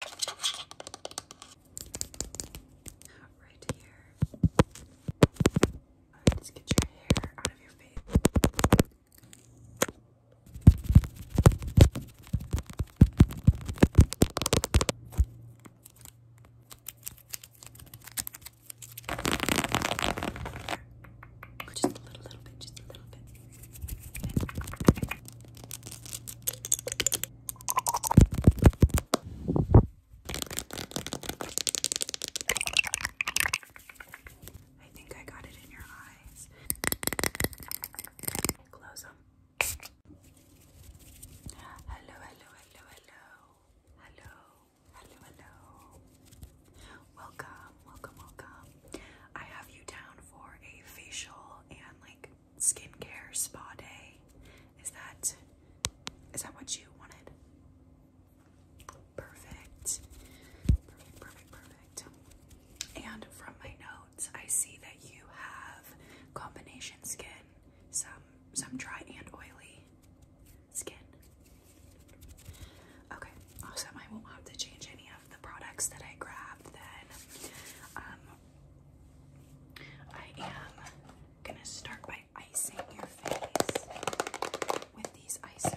Right here. let's get your hair out of your face. Just a little bit, just a little bit. I think I got it in your eyes. Close them. Hello, hello, hello, hello. Hello, hello, Welcome, welcome, welcome. I have you down for a facial and like skincare spa day. Is that is that what you wanted? Perfect. Perfect, perfect, perfect. And from my notes, I see that you have combination skin, some some dry and oily skin. Okay, awesome. I won't have to change any the products that I grabbed, then um, I am gonna start by icing your face with these icers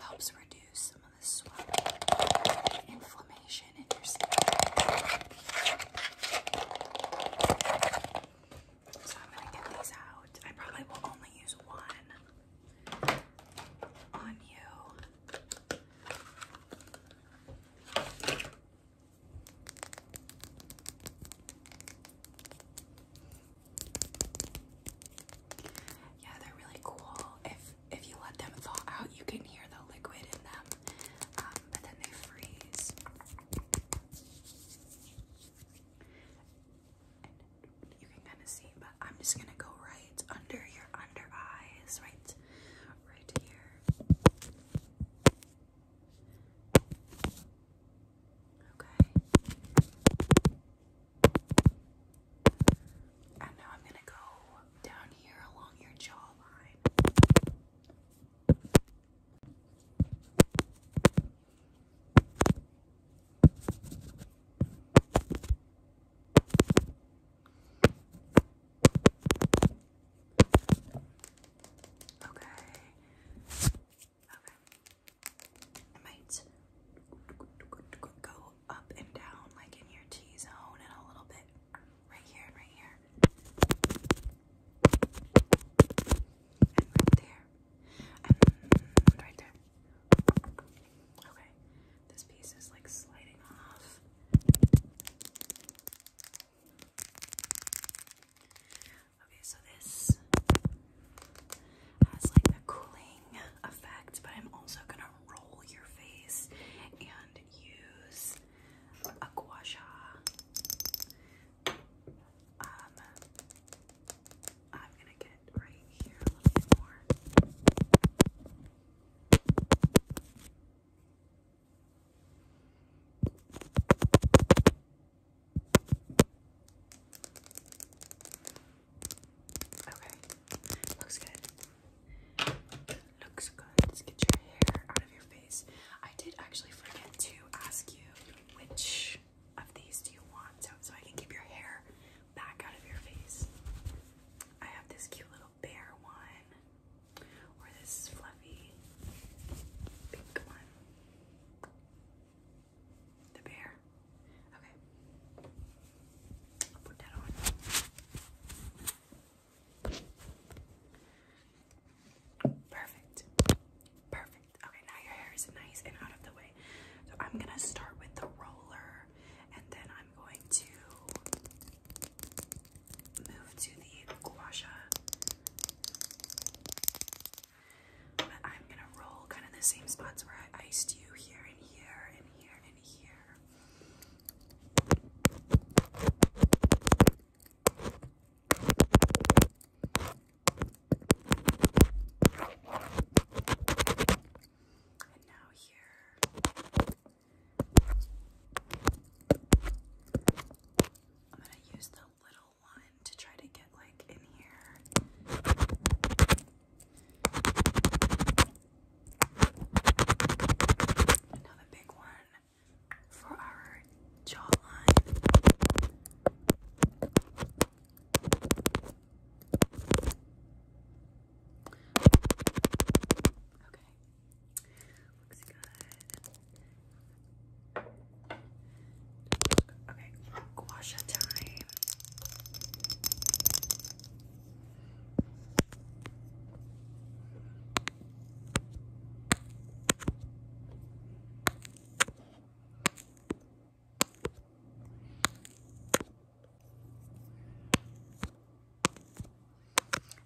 helps reduce some of the swelling inflammation in your skin. So I'm gonna get these out. I probably will only use one on you. Yeah, they're really cool. If if you let them thaw out, you can hear the liquid in them, um, but then they freeze. you can kind of see, but I'm just gonna go right under your under eyes, right, right here. Okay. And now I'm going to go down here along your jawline. Okay. Okay it might go up and down like in your T zone and a little bit right here and right here. And right there. And right there. Okay. This piece is like sliding off. Okay, so this has uh, like a cooling effect, but I'm also gonna roll your face and use a gua sha. Um, I'm gonna get right here a little bit more. Okay, looks good. Looks good. Let's get your hair out of your face. I did actually forget to ask you which of these do you want so, I can keep your hair back out of your face. I have this cute little bear one, or this fluffy pink one. The bear. Okay. put that on. Perfect. Perfect. Okay, now your hair is nice and out of the way. So I'm gonna start with the roller and then I'm going to move to the gua but I'm gonna roll kind of the same spots where I iced you here and here and here and here. And now here. I'm going to use the little one to try to get like in here. Another big one for our jawline. Okay. Looks good. Okay, gouache time.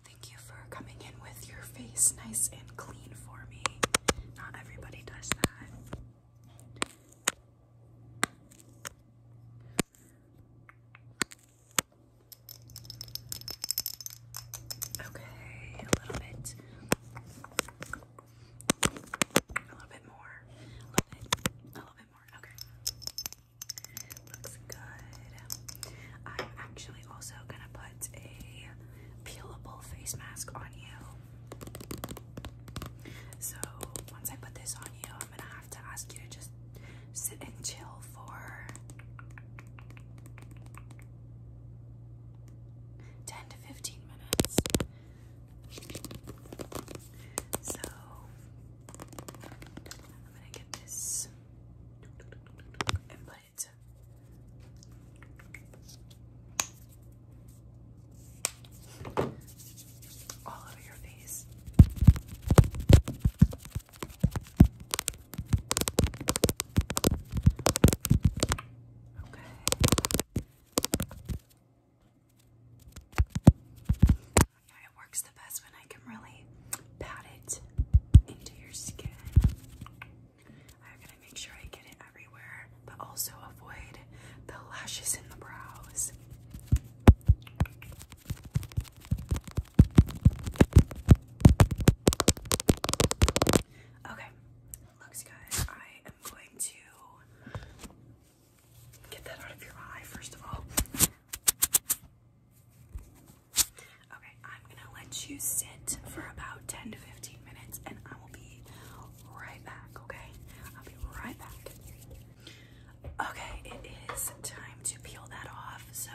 Thank you for coming in with your face nice and clean for me. Not everybody does that. Okay, a little bit. A little bit more. A little bit. A little bit more. Okay. Looks good. I'm actually also gonna put a peelable face mask on you. So once I put this on you, I'm gonna have to ask you to just sit and chill for 10 to 15 minutes. So I'm gonna get this and put it all over your face. Okay. Yeah, it works the best when I can really pat it into your skin. I'm gonna make sure I get it everywhere, but also avoid the lashes and the brows. Okay, looks good. I am going to get that out of your eye first of all. Okay, I'm gonna let you sit for about 10 to 15 minutes and I will be right back, okay? I'll be right back. Okay, it is time to peel that off. So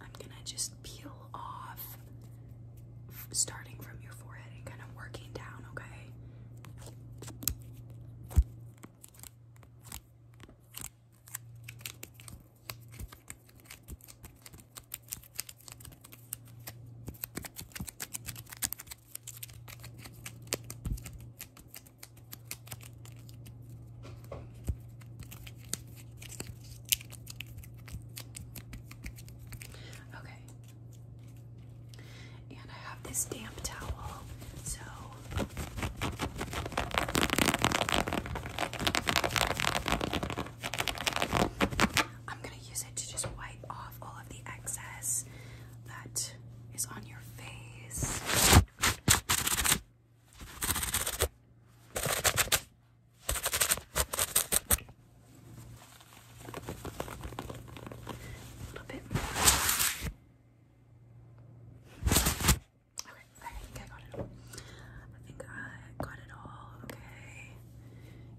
I'm gonna just peel off starting from your forehead and kind of working down, Okay, Okay. And I have this damp towel, so I'm going to use it to just wipe off all of the excess that is on your face. A little bit more. Okay, I think got it I think I got it all. Okay.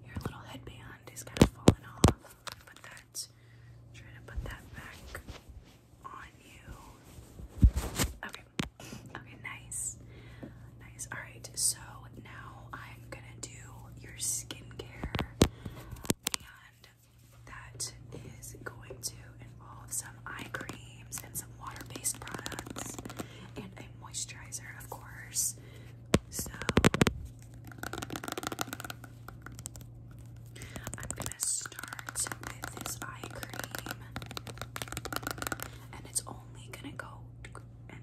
Your little headband is kind of falling off. Put that, try to put that back on you. Okay, okay, nice, nice. All right, so now I'm gonna do your skincare, and that is going to involve some eye creams and some water-based products moisturizer, of course. So I'm gonna start with this eye cream, and it's only gonna go and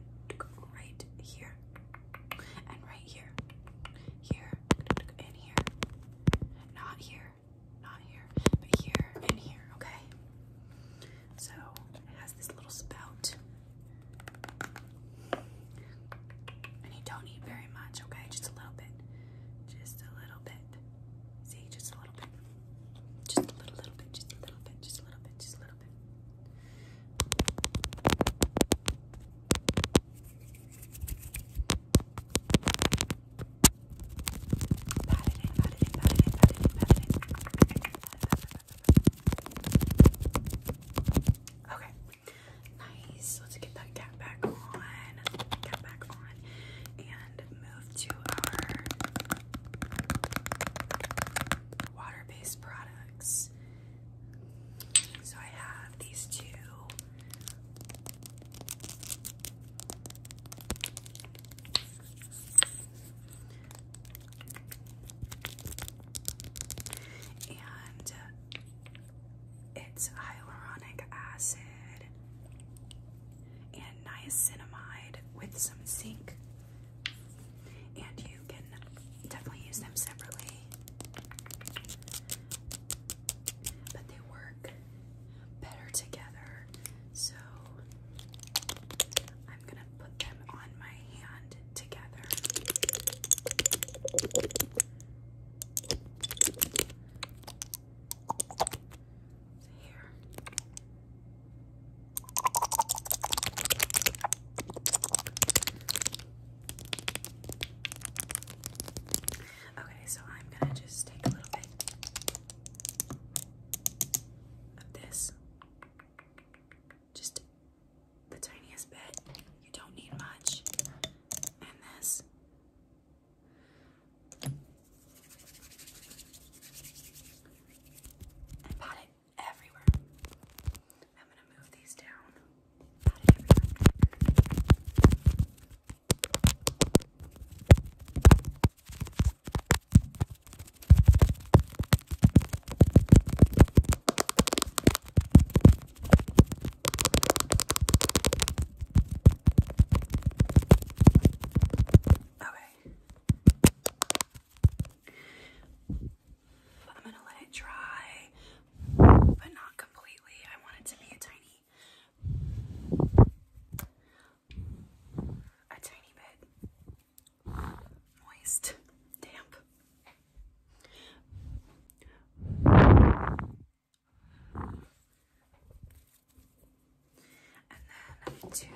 right here, and right here, here, and here, not here, not here, but here and here. Okay. So it has this little spout. And you don't need very much, okay? Just a little bit. Just a little bit. See, just a little bit. Just a little, little bit, just a little bit, just a little bit, just a little bit. Okay. Nice. Let's get that cat back on. Cat back on. And move to our water based products. So I have these two and it's hyaluronic acid and niacinamide with some zinc. And you can definitely use them separately. But they work better together. So I'm gonna put them on my hand together. here. Okay, so I'm gonna just take a little bit of this. Just the tiniest bit. You don't need much. And this. And pat it everywhere. I'm going to move these down. Pat it everywhere. I'm going to let it dry, but not completely. I want it to be a tiny a tiny bit moist, damp. And then to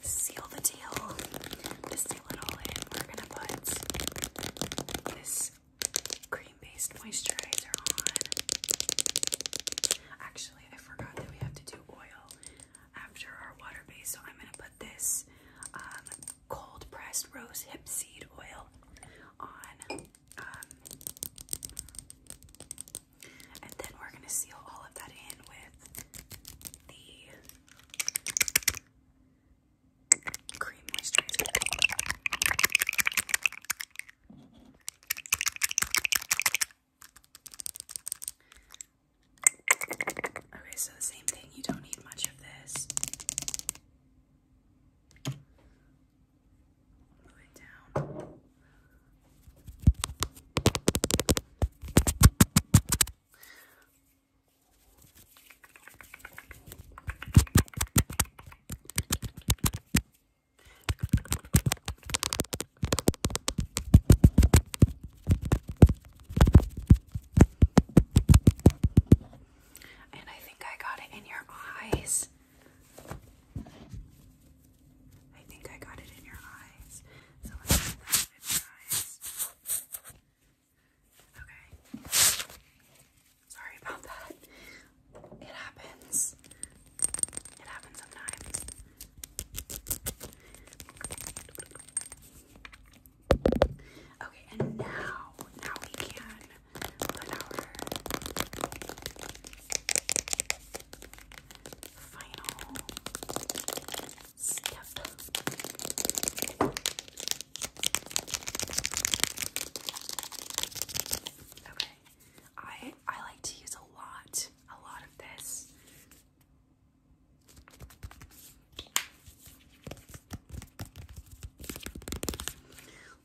seal the deal, to seal it all in, we're gonna put this cream based moisturizer on. Actually, actually, I forgot that we have to do oil after our water base, so I'm going to put this um, cold pressed rose hip seed oil on. Um, and then we're going to seal all of that in with the cream moisturizer. Okay, so the same thing, you don't need much of this. Move down. And I think I got it in your eyes. I think I got it in your eyes. Sorry about that. It happens. It happens sometimes. Okay, and now, now we can put our final step. Okay. I I like to use a lot, a lot of this.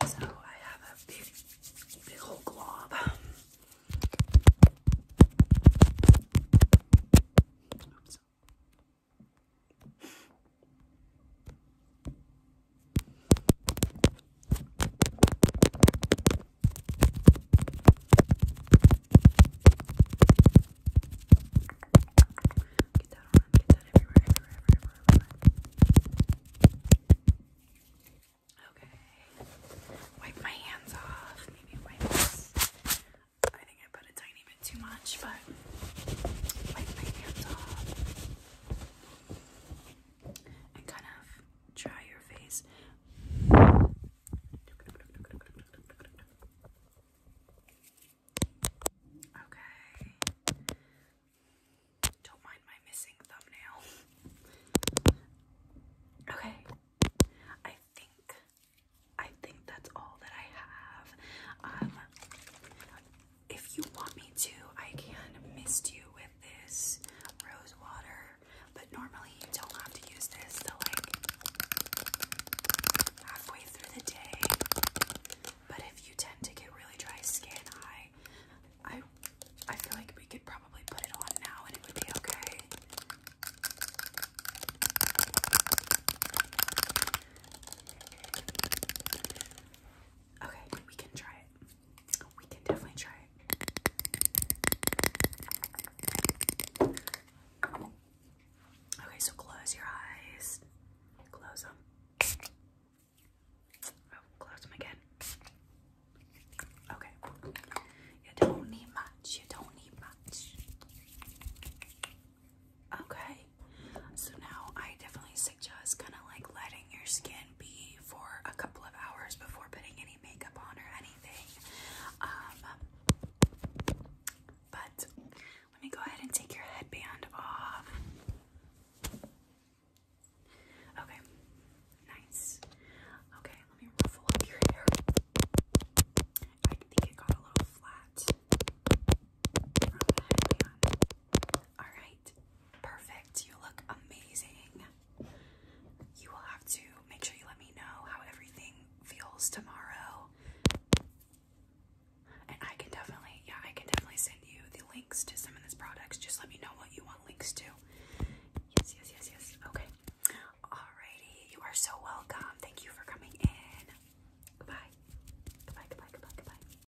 So I have a big, big old glob. Get that on, get that everywhere, everywhere, everywhere, everywhere. Okay. Wipe my hands off. Maybe wipe this. I think I put a tiny bit too much, but wipe my hands off. Okay and kind of dry your face. Okay. Don't mind my missing thumbnail. Okay. I think I think that's all that I have. Um if you want me to, I can mist you with this rose water, but normally you don't have to use this till like halfway through the day. But if you tend to get really dry skin, I I I feel like we could probably put it on now and it would be okay. Okay, we can try it we can definitely try it. Okay, so close your eyes. Close them. Oh, close them again. Okay. You don't need much. You don't need much. Okay. So now I definitely suggest kind of like letting your skin for a couple of hours before putting any makeup on or anything. Um, but let me go ahead and take your headband off. Okay, nice. Okay, let me ruffle up your hair. I think it got a little flat from the headband. All right, perfect. You look amazing. You will have to make sure you let me know how everything feels tomorrow. And I can definitely, yeah, I can definitely send you the links to some of these products. Just let me know what you want links to. Yes, yes, yes, yes. Okay. Alrighty. You are so welcome. Thank you for coming in. Goodbye. Goodbye, goodbye, goodbye, goodbye.